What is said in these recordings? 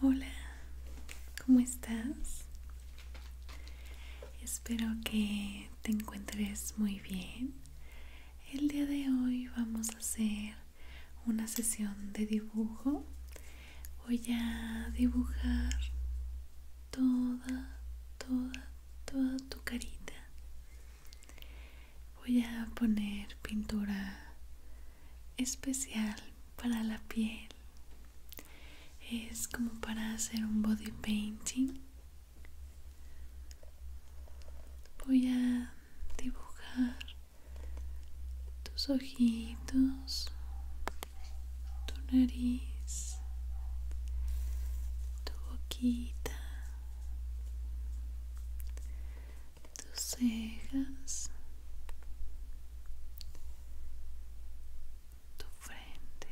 Hola, ¿cómo estás? Espero que te encuentres muy bien. El día de hoy vamos a hacer una sesión de dibujo. Voy a dibujar toda, toda, toda tu carita. Voy a poner pintura especial para la piel. Es como para hacer un body painting. Voy a dibujar tus ojitos, tu nariz, tu boquita, tus cejas, tu frente.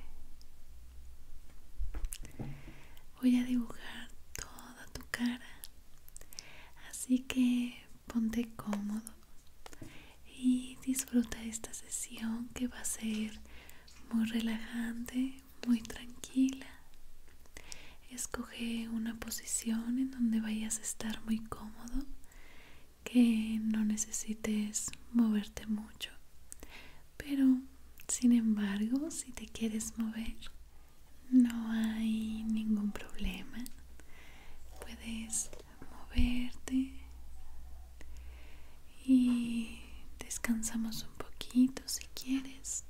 Voy a dibujar toda tu cara, así que ponte cómodo y disfruta esta sesión que va a ser muy relajante, muy tranquila. Escoge una posición en donde vayas a estar muy cómodo que no necesites moverte mucho pero sin embargo si te quieres mover no hay ningún problema puedes moverte y descansamos un poquito si quieres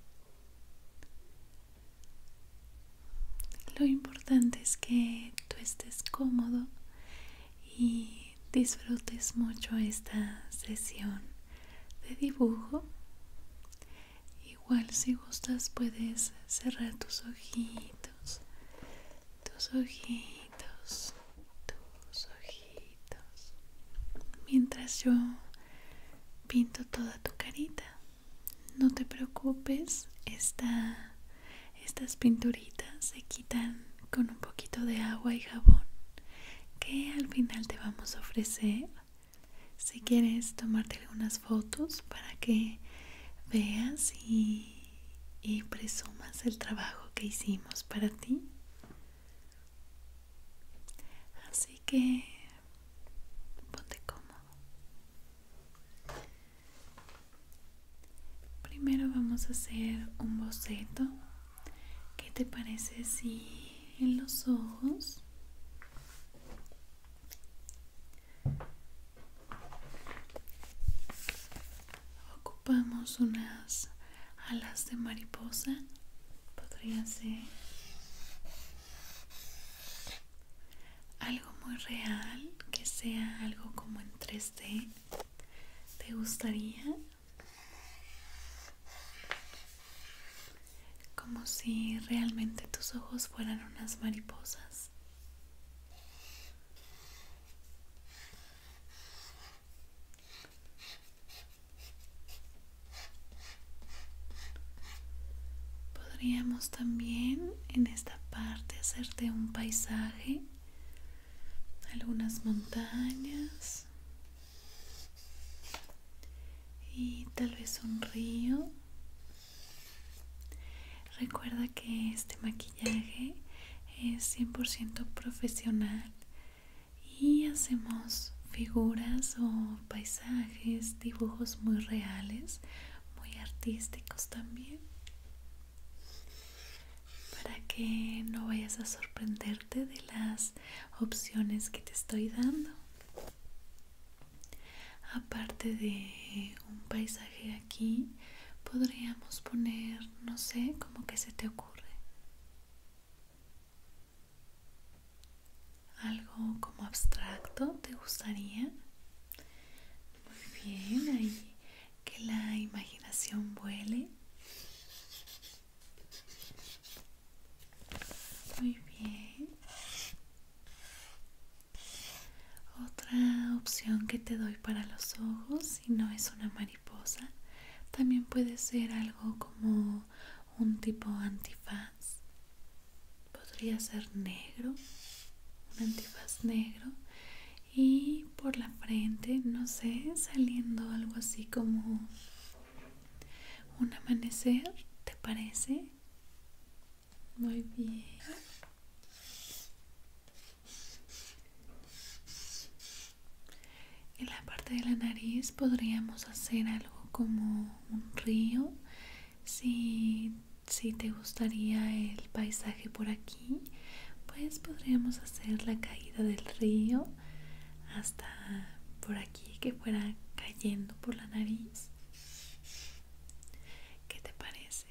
lo importante es que tú estés cómodo y disfrutes mucho esta sesión de dibujo. Igual si gustas puedes cerrar tus ojitos, tus ojitos, tus ojitos, mientras yo pinto toda tu carita no te preocupes, estas pinturitas se quitan con un poquito de agua y jabón que al final te vamos a ofrecer si quieres tomarte algunas fotos para que veas y presumas el trabajo que hicimos para ti. Así que ponte cómodo. Primero vamos a hacer un boceto. ¿Qué te parece si en los ojos ocupamos unas alas de mariposa? Podría ser algo muy real, que sea algo como en 3D. ¿Te gustaría? Como si realmente tus ojos fueran unas mariposas podríamos también en esta parte hacerte un paisaje algunas montañas y tal vez un río recuerda que este maquillaje es 100% profesional y hacemos figuras o paisajes dibujos muy reales muy artísticos también para que no vayas a sorprenderte de las opciones que te estoy dando aparte de un paisaje aquí podríamos poner no sé como que se te ocurre algo como abstracto te gustaría muy bien, ahí que la imaginación vuele. Muy bien. Otra opción que te doy para los ojos, si no es una mariposa, también puede ser algo como un tipo antifaz podría ser negro, un antifaz negro y por la frente, no sé, saliendo algo así como un amanecer, ¿te parece? Muy bien. En la parte de la nariz podríamos hacer algo como un río si, si te gustaría el paisaje por aquí pues podríamos hacer la caída del río hasta por aquí que fuera cayendo por la nariz ¿qué te parece?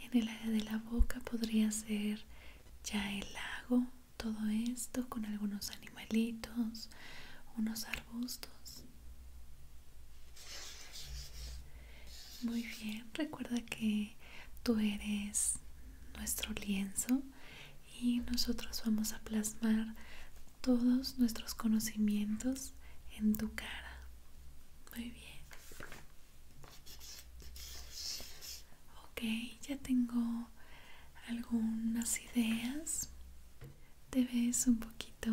en el área de la boca podría ser ya el lago todo esto con algunos animales Melitos, unos arbustos. Muy bien, recuerda que tú eres nuestro lienzo y nosotros vamos a plasmar todos nuestros conocimientos en tu cara. Muy bien. Ok, ya tengo algunas ideas te ves un poquito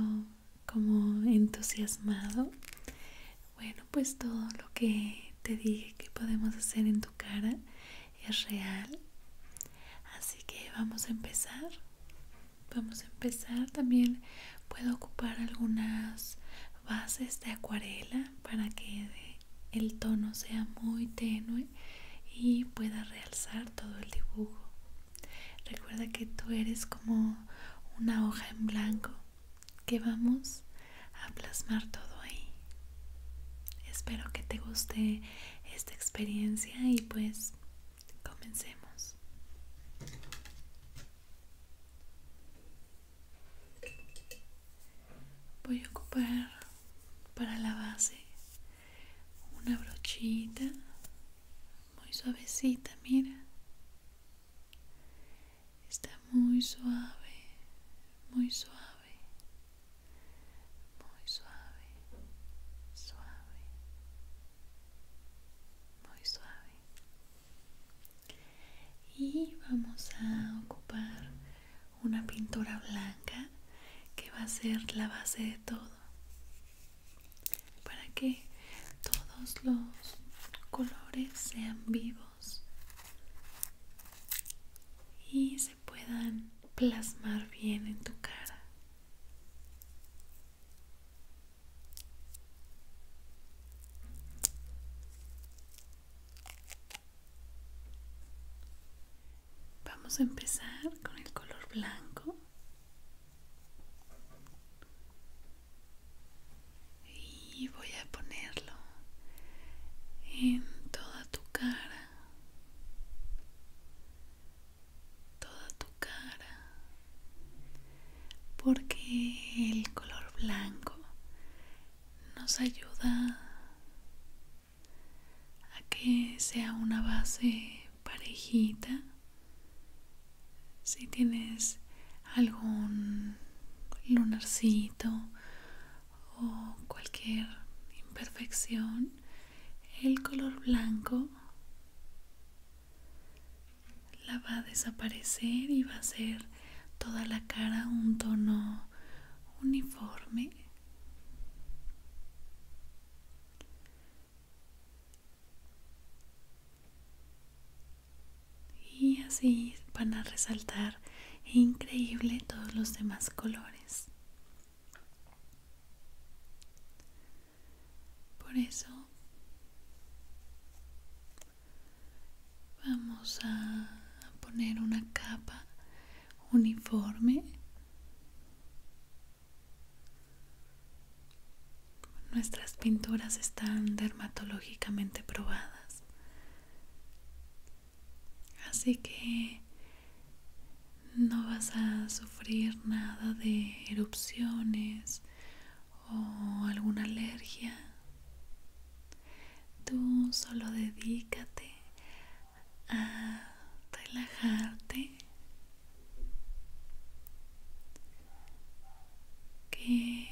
como entusiasmado. Bueno, pues todo lo que te dije que podemos hacer en tu cara es real. Así que vamos a empezar. Vamos a empezar. También puedo ocupar algunas bases de acuarela para que el tono sea muy tenue y pueda realzar todo el dibujo. Recuerda que tú eres como una hoja en blanco que vamos a plasmar todo ahí. Espero que te guste esta experiencia y pues comencemos. Voy a ocupar para la base una brochita muy suavecita, mira. Está muy suave, muy suave, muy suave, suave, muy suave. Y vamos a ocupar una pintura blanca que va a ser la base de todo para que todos los colores sean vivos y se puedan plasmar bien en tu cara vamos a empezar con el color blanco y voy a ponerlo en toda tu cara toda tu cara porque el color blanco nos ayuda a que sea una base parejita, si tienes algún lunarcito o cualquier imperfección, el color blanco la va a desaparecer y va a hacer toda la cara un tono uniforme y así van a resaltar increíble todos los demás colores por eso vamos a poner una capa uniforme Nuestras pinturas están dermatológicamente probadas. Así que no vas a sufrir nada de erupciones o alguna alergia. Tú solo dedícate a relajarte que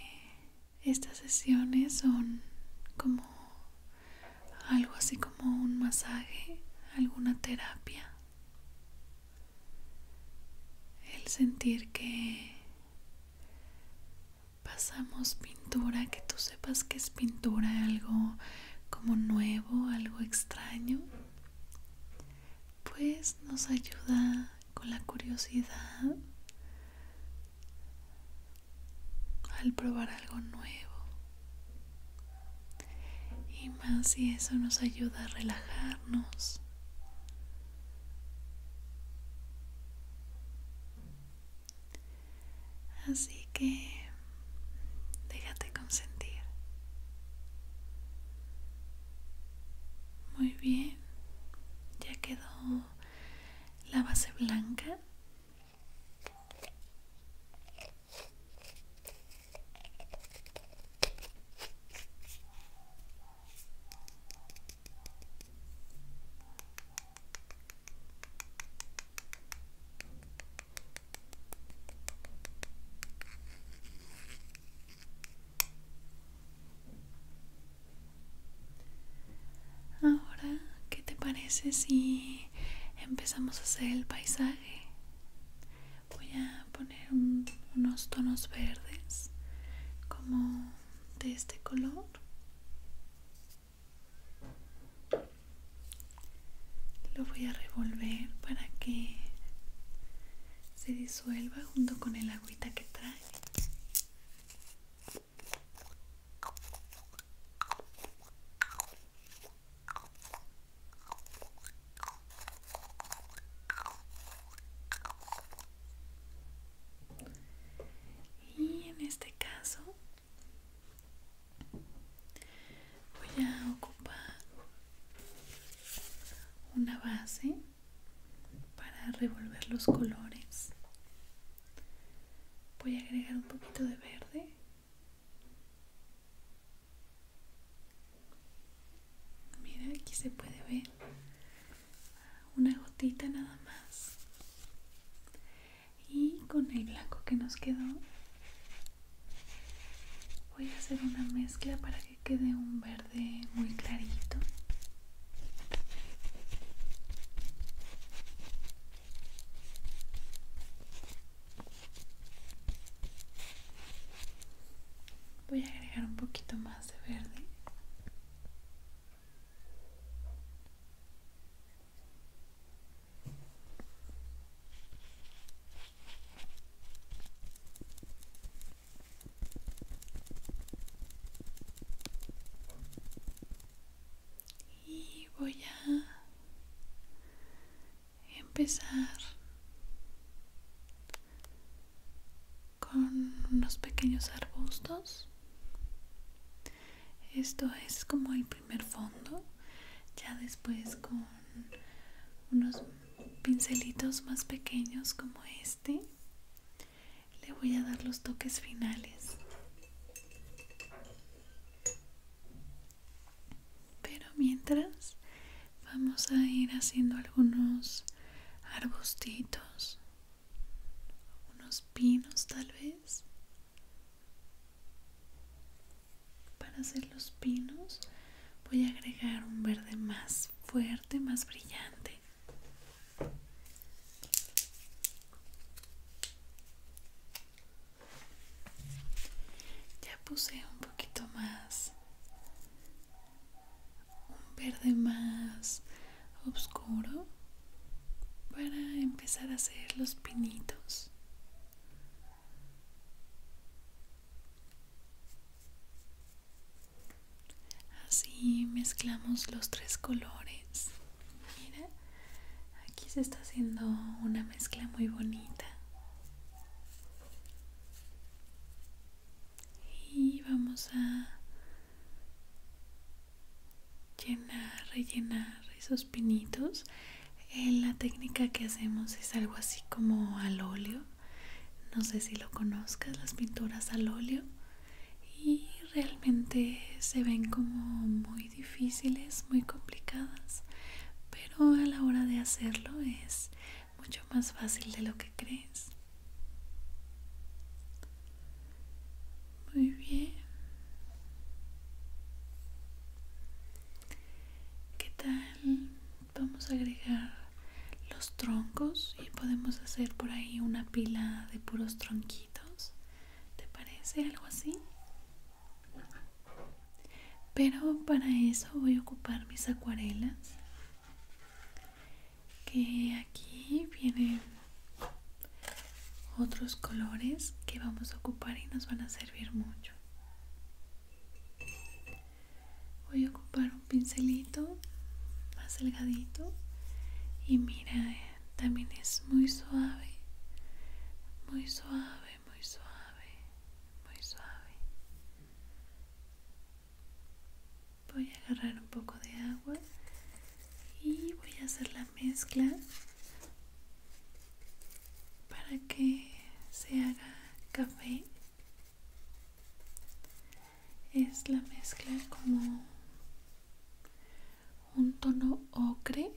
estas sesiones son como algo así como un masaje, alguna terapia. El sentir que pasamos pintura, que tú sepas que es pintura, algo como nuevo, algo extraño pues nos ayuda con la curiosidad al probar algo nuevo y más si eso nos ayuda a relajarnos así que Déjate consentir. Muy bien. Ya quedó la base blanca. Ahora, ¿qué te parece si empezamos a hacer el paisaje? Voy a poner unos tonos verdes como de este color lo voy a revolver para que se disuelva junto con el agüita que trae y en este caso voy a ocupar una base para revolver los colores voy a agregar un poquito de verde mira aquí se puede ver una gotita nada más y con el blanco que nos quedó Voy a hacer una mezcla para que quede un verde muy clarito. Voy a agregar un poquito más de verde y voy a empezar con unos pequeños arbustos esto es como el primer fondo ya después con unos pincelitos más pequeños como este le voy a dar los toques finales pero mientras vamos a ir haciendo algunos arbustitos unos pinos tal vez para hacer los pinos voy a agregar un verde más fuerte más brillante ya puse un poquito más un verde más oscuro para empezar a hacer los pinitos Así mezclamos los tres colores. Mira, aquí se está haciendo una mezcla muy bonita. Y vamos a llenar, rellenar esos pinitos eh, la técnica que hacemos es algo así como al óleo no sé si lo conozcas las pinturas al óleo y realmente se ven como muy difíciles muy complicadas pero a la hora de hacerlo es mucho más fácil de lo que crees muy bien qué tal Em, vamos a agregar los troncos y podemos hacer por ahí una pila de puros tronquitos. ¿Te parece algo así? Pero para eso voy a ocupar mis acuarelas. Que aquí vienen otros colores que vamos a ocupar y nos van a servir mucho voy a ocupar un pincelito más delgadito y mira eh, también es muy suave muy suave muy suave muy suave voy a agarrar un poco de agua y voy a hacer la mezcla para que se haga café es la mezcla como un tono ocre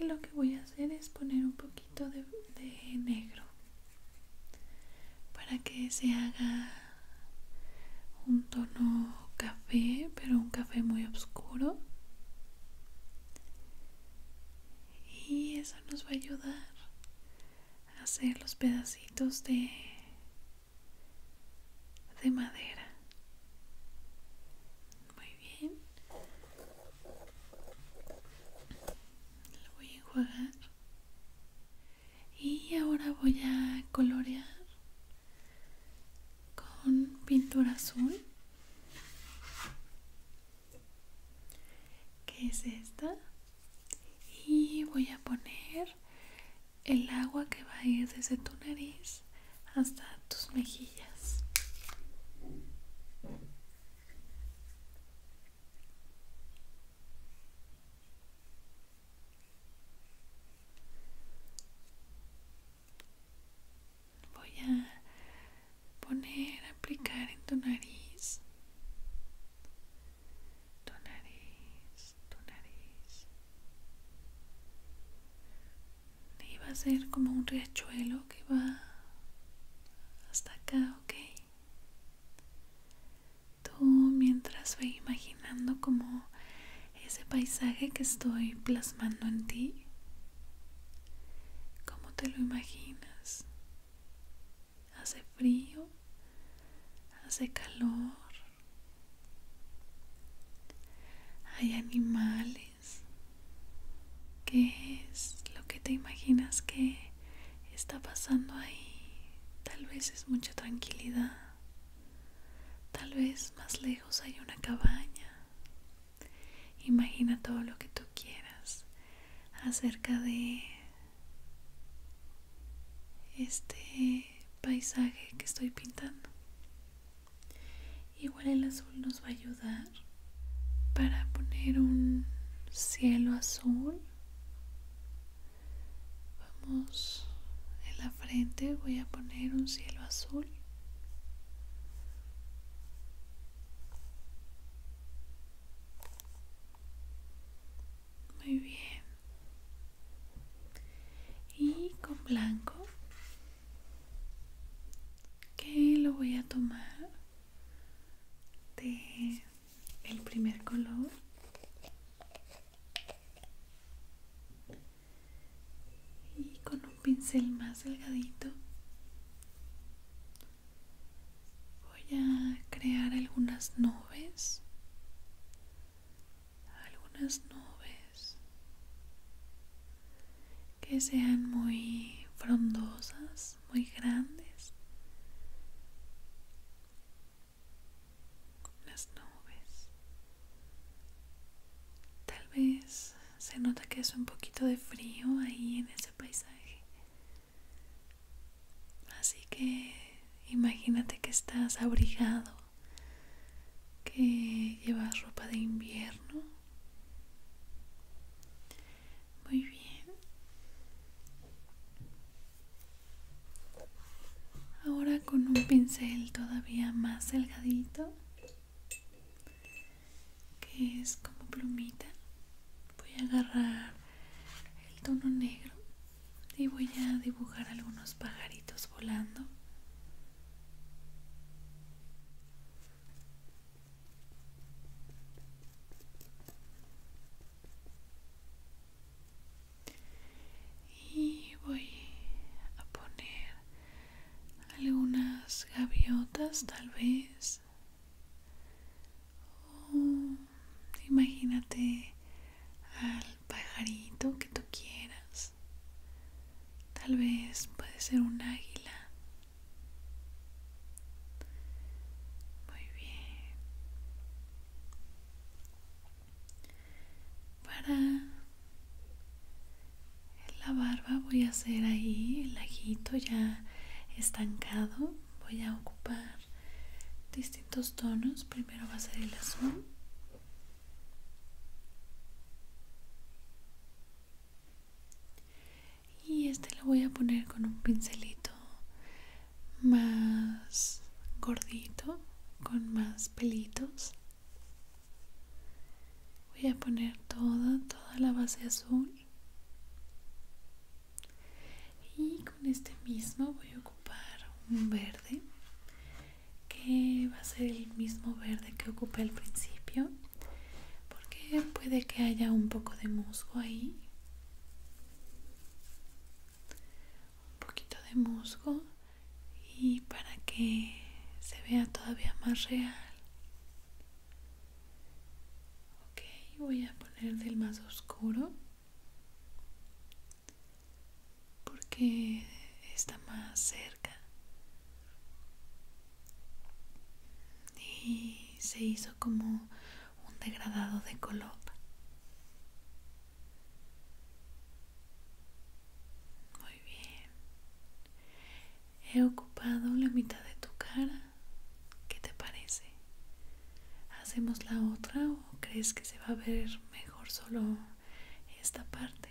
y lo que voy a hacer es poner un poquito de, negro para que se haga un tono café pero un café muy oscuro y eso nos va a ayudar a hacer los pedacitos de madera muy bien lo voy a enjuagar y ahora voy a colorear con pintura azul que es esta y voy a poner el agua que va a ir desde tu nariz hasta tus mejillas voy a poner, aplicar en tu nariz. Tu nariz, tu nariz. Y va a ser como un riachuelo que va hasta acá, ¿ok? Tú mientras voy imaginando como ese paisaje que estoy plasmando en ti, ¿Cómo te lo imaginas? ¿Hace frío? ¿Hace calor? ¿Hay animales? ¿Qué es lo que te imaginas que está pasando ahí? Tal vez es mucha tranquilidad. Tal vez más lejos hay una cabaña. Imagina todo lo que tú quieras acerca de este paisaje que estoy pintando. Igual el azul nos va a ayudar para poner un cielo azul. Vamos en la frente, voy a poner un cielo azul. Muy bien. Y con blanco, que lo voy a tomar de el primer color. Y con un pincel más delgadito Voy a crear algunas nubes. Algunas nubes que sean muy frondosas, muy grandes. Las nubes. Tal vez se nota que es un poquito de frío ahí en ese paisaje. Así que imagínate que estás abrigado, que llevas ropa de invierno. Muy bien. Ahora con un pincel todavía más delgadito que es como plumita voy a agarrar el tono negro y voy a dibujar algunos pajaritos volando y voy a poner algunas gaviotas tal vez Oh, imagínate al pajarito que tú quieras. Tal vez puede ser un águila. Muy bien. Para en la barba voy a hacer ahí el ajito ya estancado voy a ocupar distintos tonos primero va a ser el azul y este lo voy a poner con un pincelito más gordito con más pelitos voy a poner toda toda la base azul y con este mismo voy a ocupar un verde que va a ser el mismo verde que ocupé al principio porque puede que haya un poco de musgo ahí un poquito de musgo y para que se vea todavía más real ok voy a poner el más oscuro porque está más cerca y se hizo como un degradado de color muy bien He ocupado la mitad de tu cara. ¿Qué te parece? ¿Hacemos la otra o crees que se va a ver mejor solo esta parte?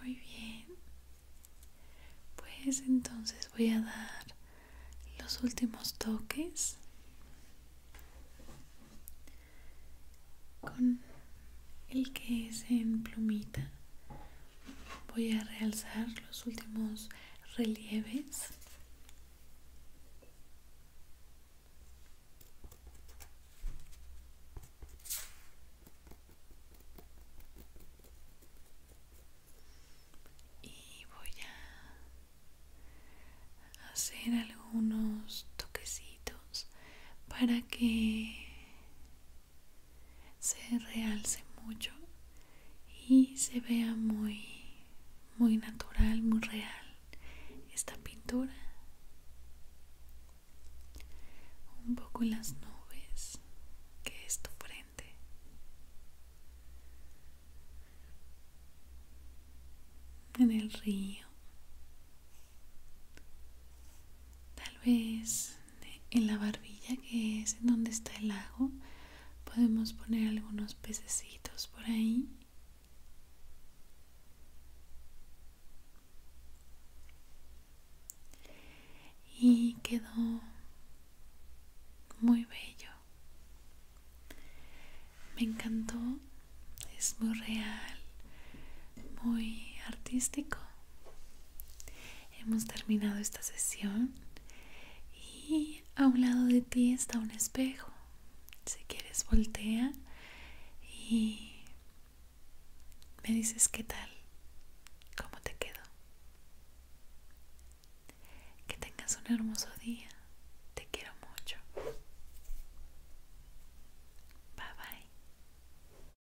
Muy bien. Pues entonces voy a dar los últimos toques con el que es en plumita voy a realzar los últimos relieves y voy a hacer algunos toquecitos para que se realce mucho y se vea muy muy natural, muy real esta pintura. Un poco las nubes que es tu frente. En el río. Tal vez en la barbilla que es en donde está el lago podemos poner algunos pececitos por ahí. Y quedó muy bello. Me encantó. Es muy real, muy artístico. Hemos terminado esta sesión y a un lado de ti está un espejo. Si quieres, voltea y me dices qué tal, cómo te quedó. Que tengas un hermoso día. Te quiero mucho. Bye bye.